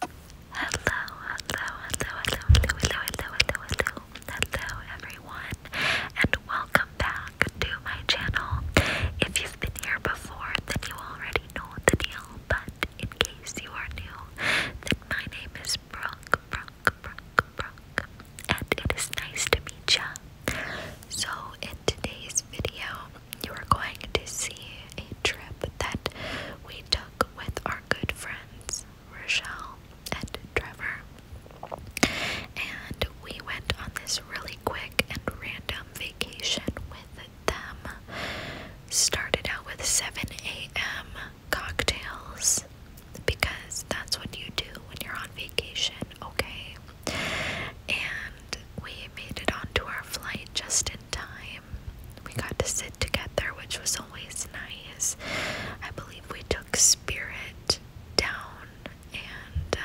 Hello, hello, hello, hello, hello, hello, hello, hello, hello, hello, everyone, and welcome back to my channel. If you've been here before, then you already know the deal, but in case you are new, then my name is Brooke, Brooke, Brooke, Brooke, and it is nice to meet ya. So, in today's video, you are going to see a trip that we took with our good friends Rochelle and Trevor. And we went on this really quick and random vacation with them. Started out with 7 a.m. cocktails because that's what you do when you're on vacation, okay? And we made it onto our flight just time. We got to sit together, which was always nice. I believe we took Spirit down, and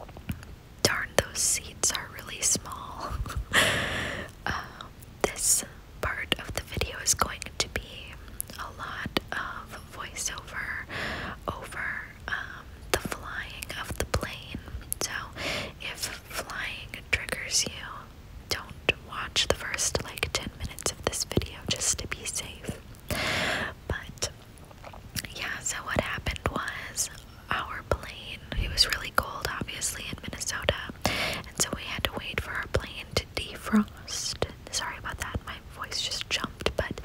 um, darn, those seats are really small. Um, this part of the video is going to be a lot of voiceover over um, the flying of the plane. So, if flying triggers you, don't watch the first like 10 minutes of this video just to be safe. But yeah, so what happened was our plane, it was really cold obviously in Minnesota, and so we had to wait for our plane to defrost. Sorry about that, my voice just jumped, but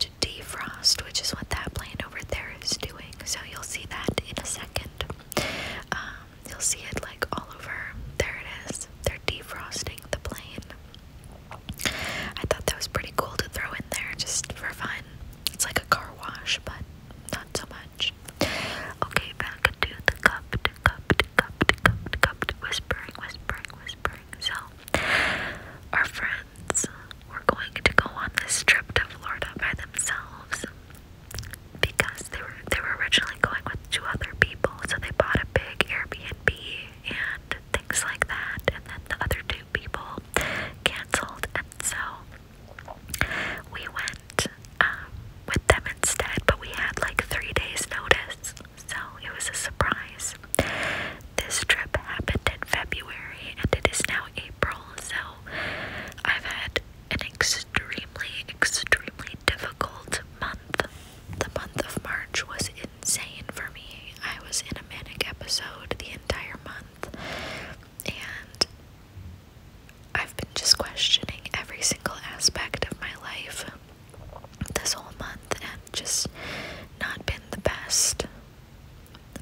to defrost, which is what that plane over there is doing. So you'll see that in a second. Um, you'll see it like all over. There it is. They're defrosting the plane. I thought that was pretty cool to throw in there just for fun. It's like a car wash, but not so much. Okay, back to the cup, to cup, cup, cup, cup, whispering, whispering, whispering. So, our friends were going to go on this trip to Florida by themselves because they were they were originally going with two other people, so they bought a big Airbnb and things like that, and then the other two people canceled, and so we went um, with them instead. But we had like three days' notice, so it was a surprise. This trip happened in February, and it is now April, so I've had an extremely, extremely difficult month. The month of March was insane for me. I was in a manic episode the entire month, and I've been just questioning every single aspect of my life this whole month and just not been the best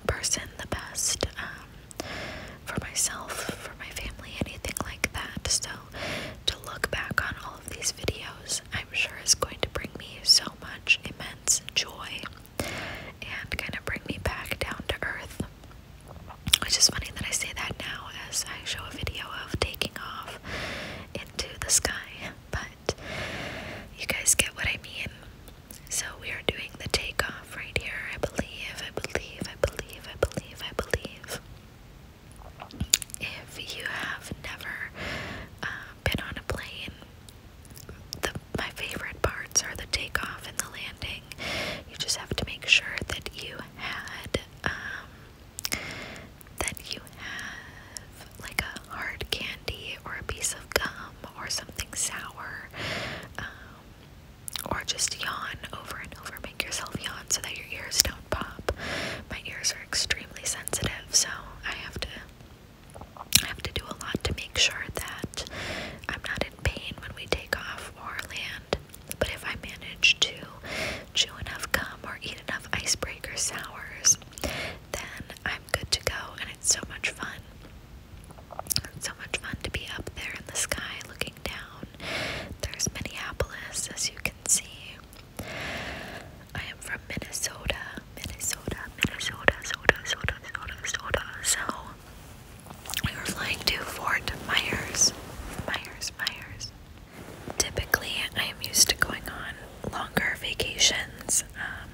person the best um, for myself, for my family, anything like that. So to look back on all of these videos, I'm sure is going to bring me so much immense joy and kind of bring me back down to earth. Which is funny that I say that now as I show a video of taking off into the sky, but you guys get what I mean. So we are doing the takeoff right here, I believe, I believe, I believe, I believe, I believe. If you have never uh, been on a plane, the, my favorite parts are the takeoff and the landing. You just have to make sure that you had, um, that you have like a hard candy or a piece of gum or something sour um, or just yawn over and over. Make yourself yawn so that your ears don't pop. My ears are extremely sensitive, so I have to I have to do a lot to make sure that I'm not in pain when we take off or land. But if I manage to chew enough gum or eat enough icebreaker sours, then I'm good to go and it's so much fun so much fun to be up there in the sky looking down. There's Minneapolis, as you can see. I am from Minnesota, Minnesota, Minnesota, So we were flying to Fort Myers, Myers, Myers. Typically, I am used to going on longer vacations, um,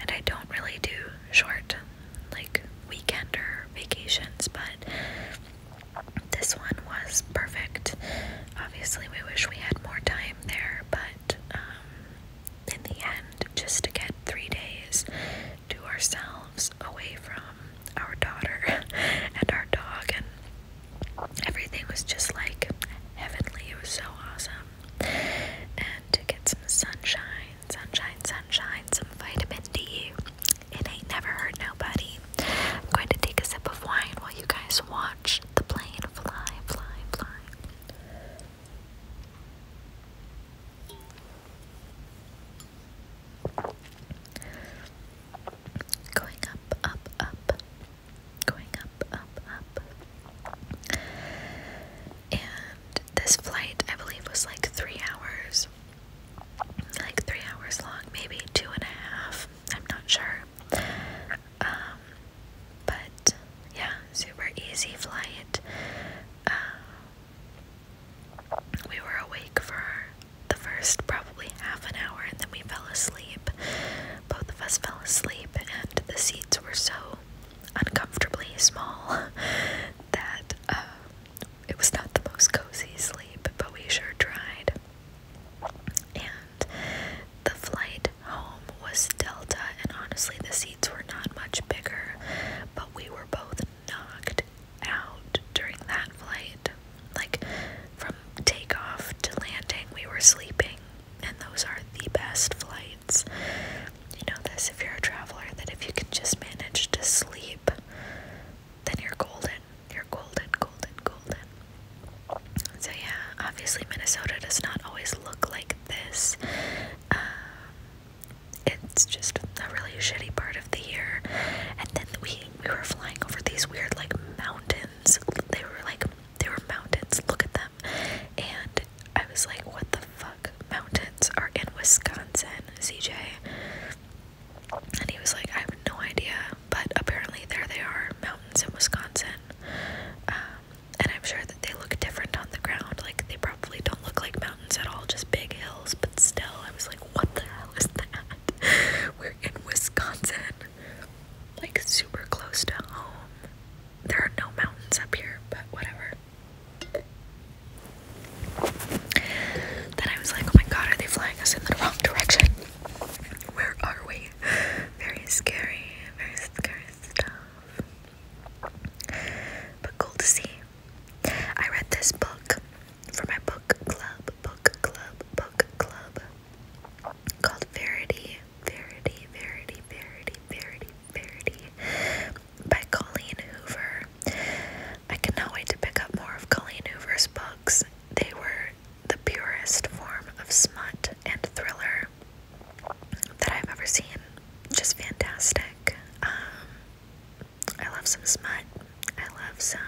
and I don't really do short like or vacations, but this one was perfect. Obviously, we wish we had more time there, but um, in the end, just to get three days to ourselves away from our daughter and our dog, and everything was just like heavenly. It was so awesome. And to get some sunshine sunshine, sunshine, some vitamin D. It ain't never hurt nobody. I'm going to take a sip of wine while you guys watch the plane fly, fly, fly. Going up, up, up. Going up, up, up. And this flight, I believe, was like three hours, like three hours long, maybe two and a half. I'm not sure. Um, but yeah, super easy flight. Um, we were awake for the first probably half an hour, and then we fell asleep. Both of us fell asleep, and the seats were so uncomfortably small that uh, it was not the most cozy sleep, but we sure tried. And the flight home was Delta, and honestly, the seats were not much bigger, but we were both knocked out during that flight. Like, from takeoff to landing, we were sleeping, and those are the best flights you know this if you're a traveler that if you can just manage to sleep, then you're golden. You're golden, golden, golden. So, yeah, obviously, Minnesota does not always look like this. Um, it's just a really shitty part of the year. And then we, we were flying over these weird, like, mountains. They were like, they were mountains. Look at them. And I was like, what the fuck mountains are in Wisconsin, CJ? And he was like, I have no idea, but apparently there they are, mountains in Wisconsin. Um, and I'm sure that they look different on the ground. Like, they probably don't look like mountains at all, just big hills. But still, I was like, what the hell is that? We're in Wisconsin, like super close to home. There are no mountains up here, but whatever. Then I was like, oh my god, are they flying us in the wrong direction? Where are we? Very scary, very scary stuff. But cool to see. I read this book for my book club, book club, book club called Verity, Verity, Verity, Verity, Verity, Verity by Colleen Hoover. I cannot wait to pick up more of Colleen Hoover's books. They were the purest form of smut and thriller that I've ever seen. Just fantastic. Um, I love some smut. I love some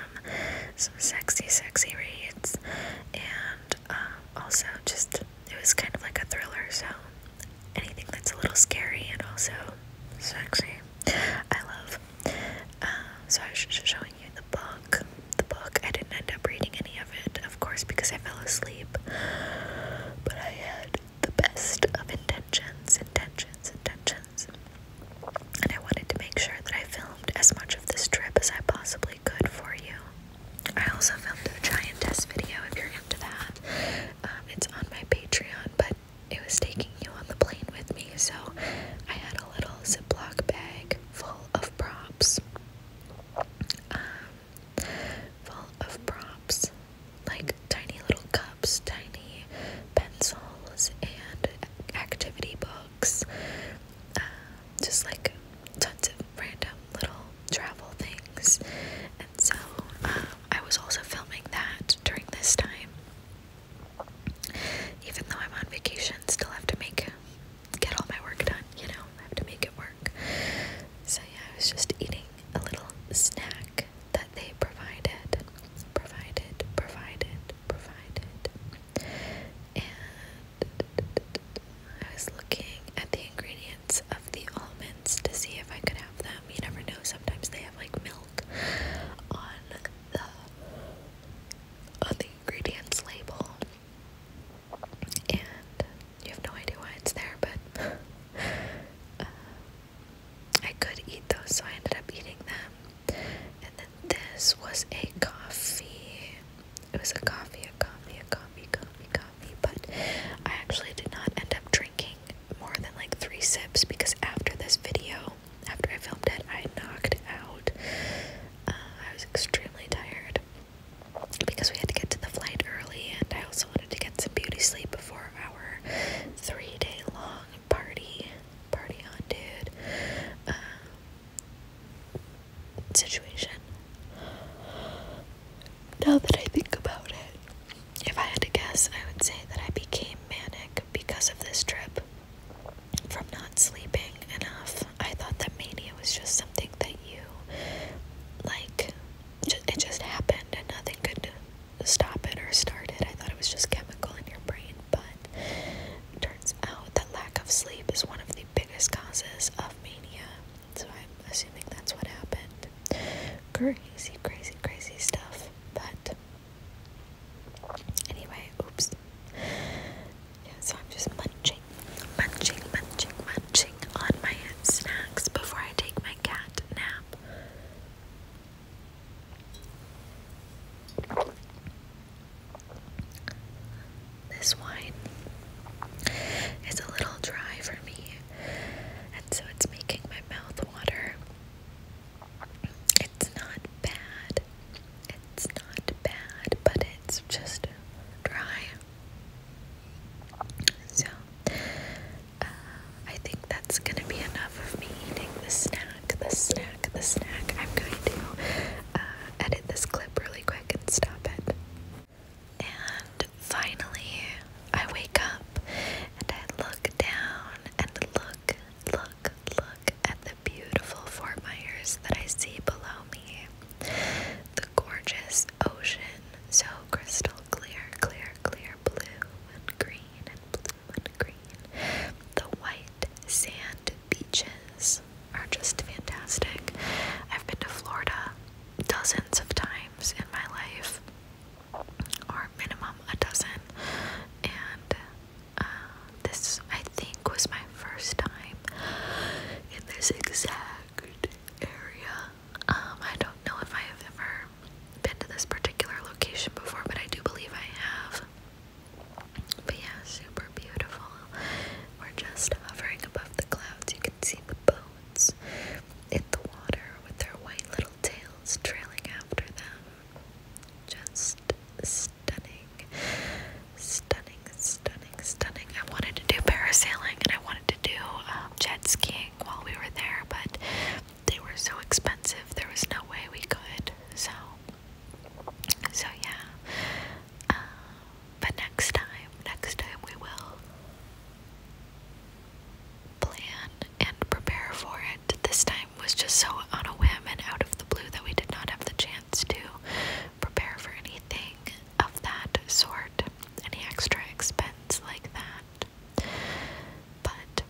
some sexy, sexy reads, and um, also just it was kind of like a thriller, so anything that's a little scary and also sexy, I love. Um, so I was just showing you the book. The book. I didn't end up reading any of it, of course, because I fell asleep. But I had the best of intentions, intentions, intentions. And I wanted to make sure that I filmed as much of this trip as I possibly could for you. I also filmed a giantess video if you're into that. Um, it's on my Patreon, but it was taking you on the plane with me, so I had a little Ziploc bag full of props. Um, full of props, like tiny little cups, tiny pencils, and activity books. Uh, just like tons of random little travel things. And so uh, I was also filming that during this time. Even though I'm on vacation, still have to make get all my work done, you know, I have to make it work. So yeah, I was just eating a little snack that they provided. Provided, provided, provided. And I was looking at the ingredients of the almonds to see if I could have them. You never know, sometimes they have like milk on the on the ingredients label. And you have no idea why it's there, but uh, I could eat those, so I ended up eating them. And then this was a coffee. It was a coffee, a coffee, a coffee, coffee, coffee but I actually did not end up drinking more than like three sips because after this video, after I filmed it, I knocked out. Uh, I was extremely tired because we had to get to the flight early, and I also wanted to get some beauty sleep before our three day long party. Party on, dude. Um, situation. Now that I think about it, if I had to guess, I would say that I became manic because of this trip. From not sleeping enough, I thought that mania was just something that you, like, it just happened and nothing could stop it or start it. I thought it was just chemical in your brain, but turns out that lack of sleep is one of the biggest causes of mania. So I'm assuming that's what happened. Crazy, crazy, crazy stuff. But anyway, oops. Yeah, so I'm just munching, munching, munching, munching on my snacks before I take my cat nap this wine is a little dry for me, and so it's making my mouth water. It's not bad, it's not bad, but it's just dry. So, uh, I think that's gonna be enough of me eating the snack, the snack, the snack. I'm going to uh, edit this clip really quick and stop it. And finally, I wake up and I look down and look, look, look at the beautiful Fort Myers that I see below me. The gorgeous ocean, so crystal clear, clear, clear blue and green and blue and green. The white sand beaches are just fantastic. I've been to Florida dozens of times in my life, or minimum a dozen, and uh, this I think was my first time in this exact area. Um, I don't know if I have ever been to this particular location before, but I do believe I have. But yeah, super beautiful. We're just hovering above the clouds, you can see the boats in the water with their white little tails trailing after them. Just stunning, stunning, stunning, stunning. I wanted to do parasailing and I wanted to do um, jet skiing while we were there, but they were so expensive, there was no way we could. So, so yeah. Um, but next time, next time we will plan and prepare for it. This time was just so on a whim and out of the blue that we did not have the chance to prepare for anything of that sort, any extra expense like that. But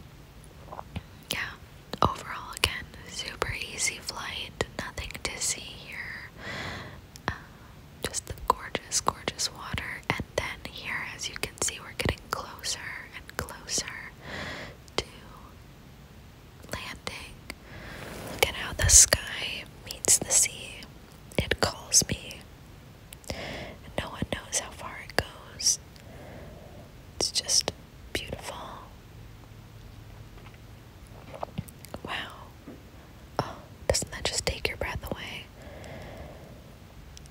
yeah, overall, again, super easy flight, nothing to see here. Um, just the gorgeous, gorgeous water. And then here, as you can see, we're getting closer and closer to landing. Look at how the sky meets the sea. It calls me. And no one knows how far it goes. It's just beautiful. Wow. Oh, doesn't that just take your breath away?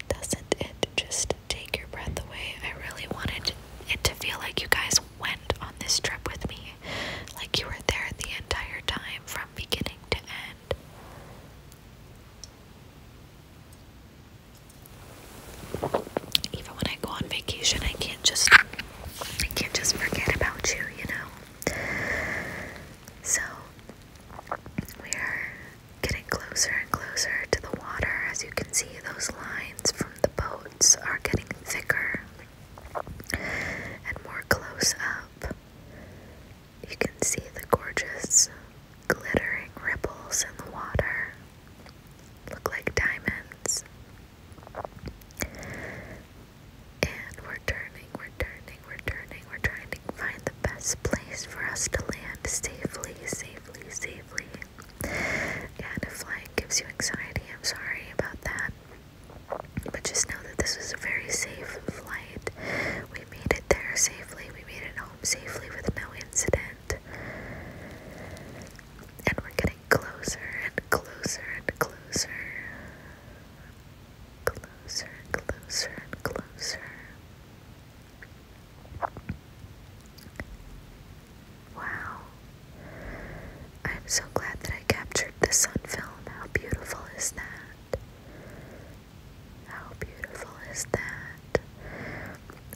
Doesn't it just take your breath away? I really wanted it to feel like you guys went on this trip with me. Like you were there the entire time from beginning to end. Even when I go on vacation, I can't just I can't just forget about you, you know? So, we are getting closer and closer to the water. As you can see, those lines from the boats are getting thicker and more close up. You can see the gorgeous glittering ripples in the water. Look like diamonds. And we're turning, we're turning, we're turning, we're trying to find the best place for us to land safely, safely, safely. And if flying gives you anxiety, I'm sorry about that. But just know that this was a very safe flight. We made it there safely, we made it home safely with no incident. And we're getting getting closer and closer and closer. Closer and closer and closer. Wow. I'm so glad that I captured this on film. How beautiful is that? How beautiful is that?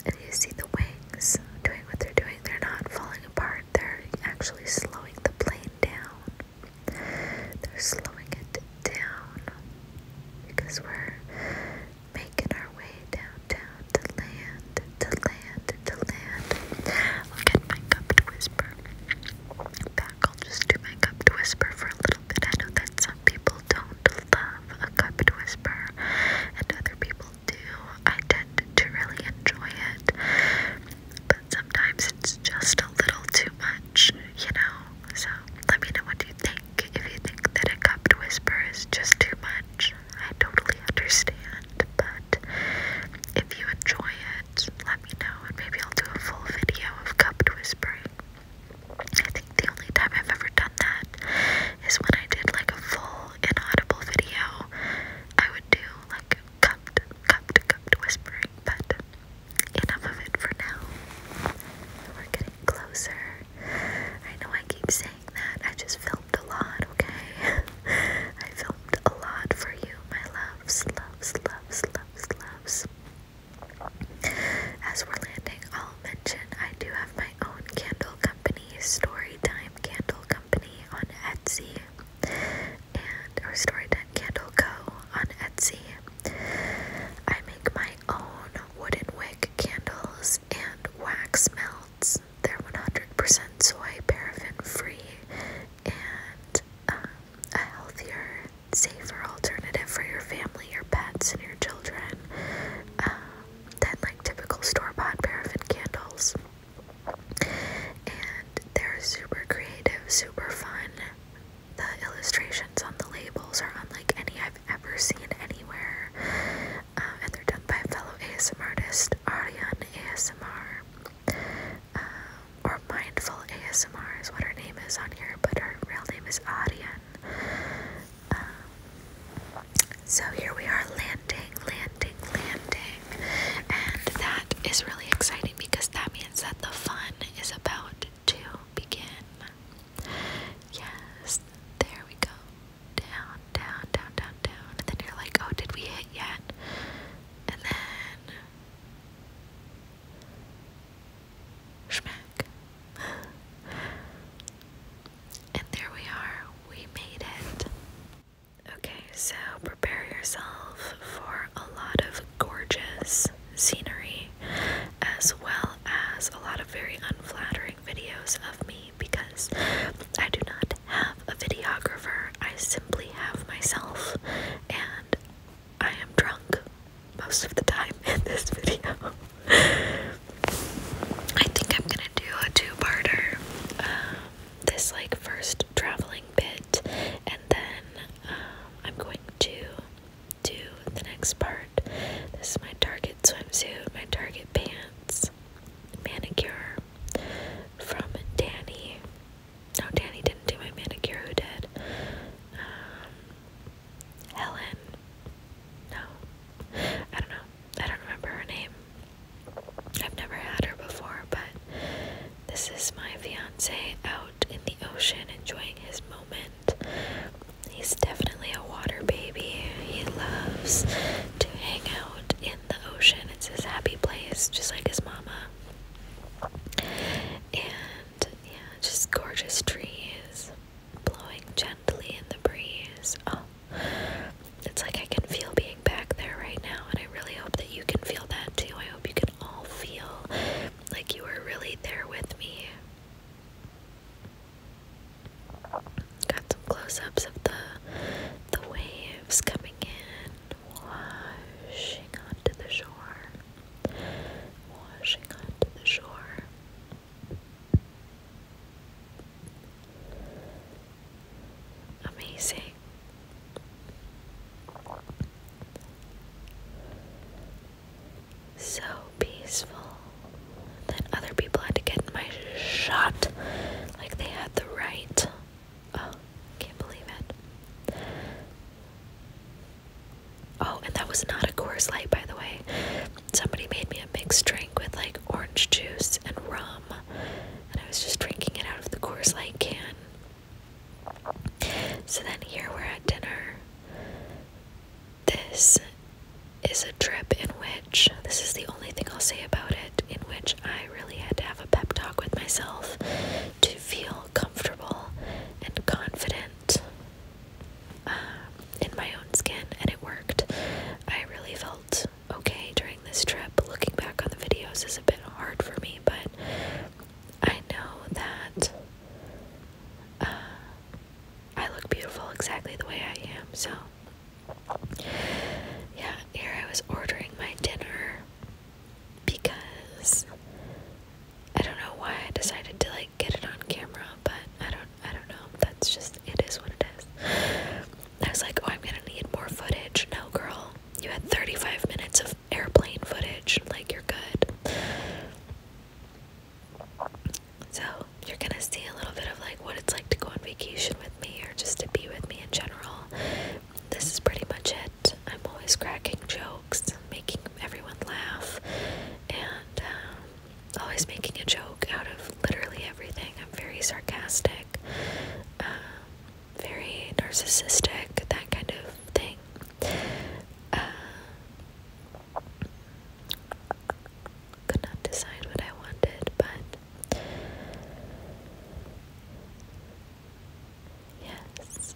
And you see the wings doing what they're doing, they're not falling apart they're actually slowing the plane down. They're slowing it down because we're making our way downtown to land, to land, to land. I'll get my cup whisper back. I'll just do my cup whisper for a little bit. I know that some people don't love a cup whisper, and other people do. I tend to really enjoy it, but sometimes it's just a little too much, you know? So let me know what you think. If you think that a cupped whisper is just too much, I totally understand, but if you enjoy it, let me know, and maybe I'll do a full video of cupped whispering. I think the only time I've ever done that is when I did like a full inaudible video. I would do like cupped, cupped, cupped whispering, but enough of it for now. We're getting closer. I know I keep saying that. I just filmed a lot, okay? I filmed a lot for you, my loves, loves, loves, loves, loves. As we're landing, I'll mention I do have my own candle company, Storytime Candle Company. Company on Etsy and Restore Dent Candle Co. on Etsy. I make my own wooden wick candles and wax melts. They're 100% soy, paraffin free, and um, a healthier, safer alternative for your family, your pets, and your children um, than like typical store bought paraffin candles. And they're super creative, super fun. The illustrations on the labels are unlike any I've ever seen anywhere. Um, and they're done by fellow ASMR artist Ariane ASMR. Um, or Mindful ASMR is what her name is on here, but her real name is Ariane. Um, so here we are landing, landing, landing. And that is really exciting because that means that the fun is about to begin. Yes, there we go. Down, down, down, down, down. And then you're like, oh, did we hit yet? And then. Schmack. And there we are. We made it. Okay, so prepare yourself for a lot of gorgeous scenery as well as a lot of very unflattering videos of me because I do not have a videographer. I simply have myself and I am drunk most of the time in this video. I think I'm gonna do a two-parter. Um, this like first traveling bit, and then uh, I'm going to do the next part. This is my Target swimsuit, my Target pants, manicure from Danny. No, Danny didn't do my manicure. Who did? Um, Helen. No, I don't know. I don't remember her name. I've never had her before, but this is my fiance out in the ocean enjoying his moment. He's definitely a water baby. He loves to hang out in the ocean. It's his happy place, just like his mama. And yeah, just gorgeous trees blowing gently in the breeze. Oh, it's like I can feel being back there right now, and I really hope that you can feel that too. I hope you can all feel like you are really there with me. Got some close-ups of the the waves coming in, washing onto the shore, washing onto the shore. Amazing. So peaceful. Then other people had to get my shot. Like they had the right. Oh, can't believe it. Oh, and that was not a Coors Light, by the way somebody made me a mixed drink with like orange juice and rum, and I was just drinking it out of the Coors Light can. So then here we're at dinner. This is a trip in which this is the only thing I'll say about it, in which I really had to have a pep talk with myself to feel comfortable and confident. Um, in my own skin, and it worked. I really felt okay during this trip. Looking back on the videos is a bit hard for me, but I know that uh, I look beautiful exactly the way I am. So, yeah, here I was ordering my dinner because I don't know why I decided to like get it on camera, but I don't I don't know. That's just it is what it is. I was like, oh, I'm gonna need more footage. No, girl, you had 35 minutes of airplane footage. Like you're good. So you're gonna see a little bit of like what it's like to go on vacation with me or just to be with me in general. This is pretty much it. I'm always cracking jokes, making everyone laugh, and um, always oh, making a joke out of literally everything. I'm very sarcastic, um, very narcissistic, that kind of thing. Uh, could not decide what I wanted, but yes.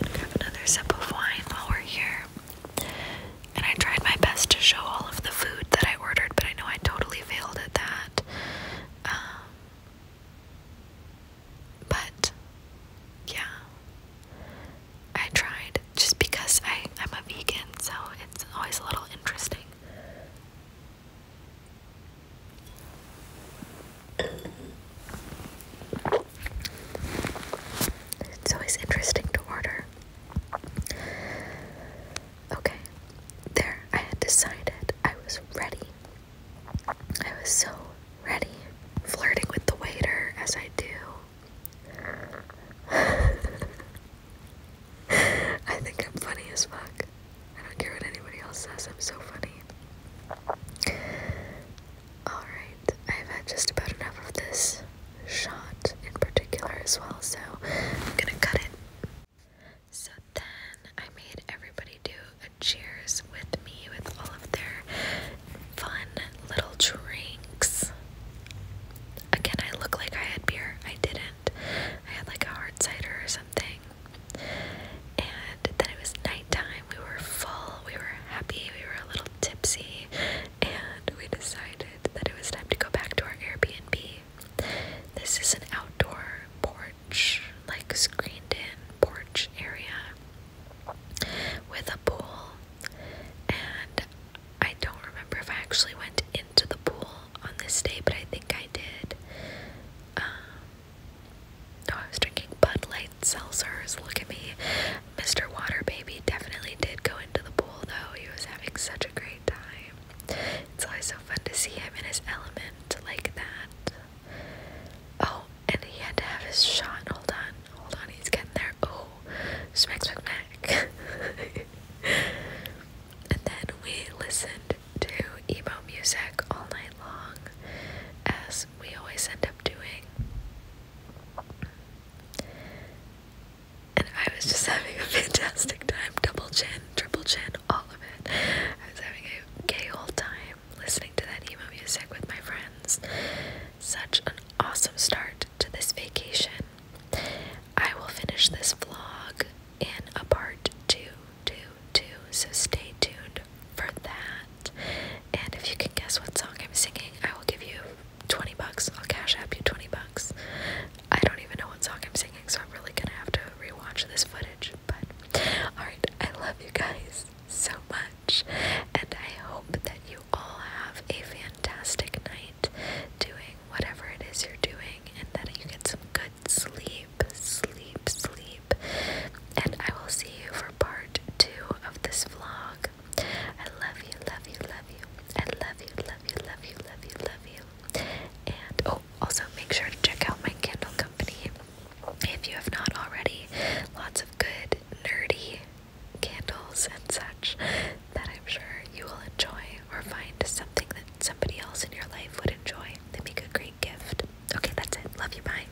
I'm gonna grab another sip of wine while we're here. And I tried my best to show all of the food that I ordered, but I know I totally failed at that. Um, but yeah, I tried just because I, I'm a vegan, so it's always a little interesting. It's always interesting to order. Okay, there, I had decided I was ready. I was so ready, flirting with the waiter as I do. I think I'm funny as fuck. I don't care what anybody else says, I'm so funny. Alright, I've had just about enough of this shot in particular as well, so I'm gonna cut it. So then I made everybody do a cheers with me with all of their fun little drinks. Again, I look like I had beer. I didn't. I had like a hard cider or something. And then it was night time. We were full. We were happy. We were a little tipsy, and we decided that it was time to go back to our Airbnb. This is an outdoor porch, like screened in porch area with a pool. And I don't remember if I actually went into the pool on this day, but I think I did. Um, no, I was drinking Bud Light seltzers. Look at me. Mr. Water Baby definitely did go into the pool though. He was having such a great time. It's always so fun to see him in his element like that. Oh, and he had to have his shot. Hold on. Hold on. He's getting there. Oh, smack, smack, smack. and then we listened to emo music all night long, as we always end up doing. And I was just having a fantastic time. Double chin, triple chin, all of it. I was having a gay old time listening to that emo music with my friends. Such an awesome start to this vacation. I will finish this vlog in a part two, two, two, so stay tuned for that. And if you can guess what song I'm singing, I will give you 20 bucks. I'll cash app you 20 bucks. I don't even know what song I'm singing, so I'm really gonna have to rewatch this footage. But alright, I love you guys so much, and I hope that you all have a fantastic night doing whatever it is you're doing and that you get some good sleep, sleep, sleep. And I will see you for for part two of this vlog. I love you, love you, love you. I love you, love you, love you, love you, love you. And oh, also make sure to check out my Kindle company if you have not already. Lots of good nerdy candles and such that I'm sure you will enjoy or find something that somebody else in your life would enjoy. They make a great gift. Okay, that's it. Love you. Bye.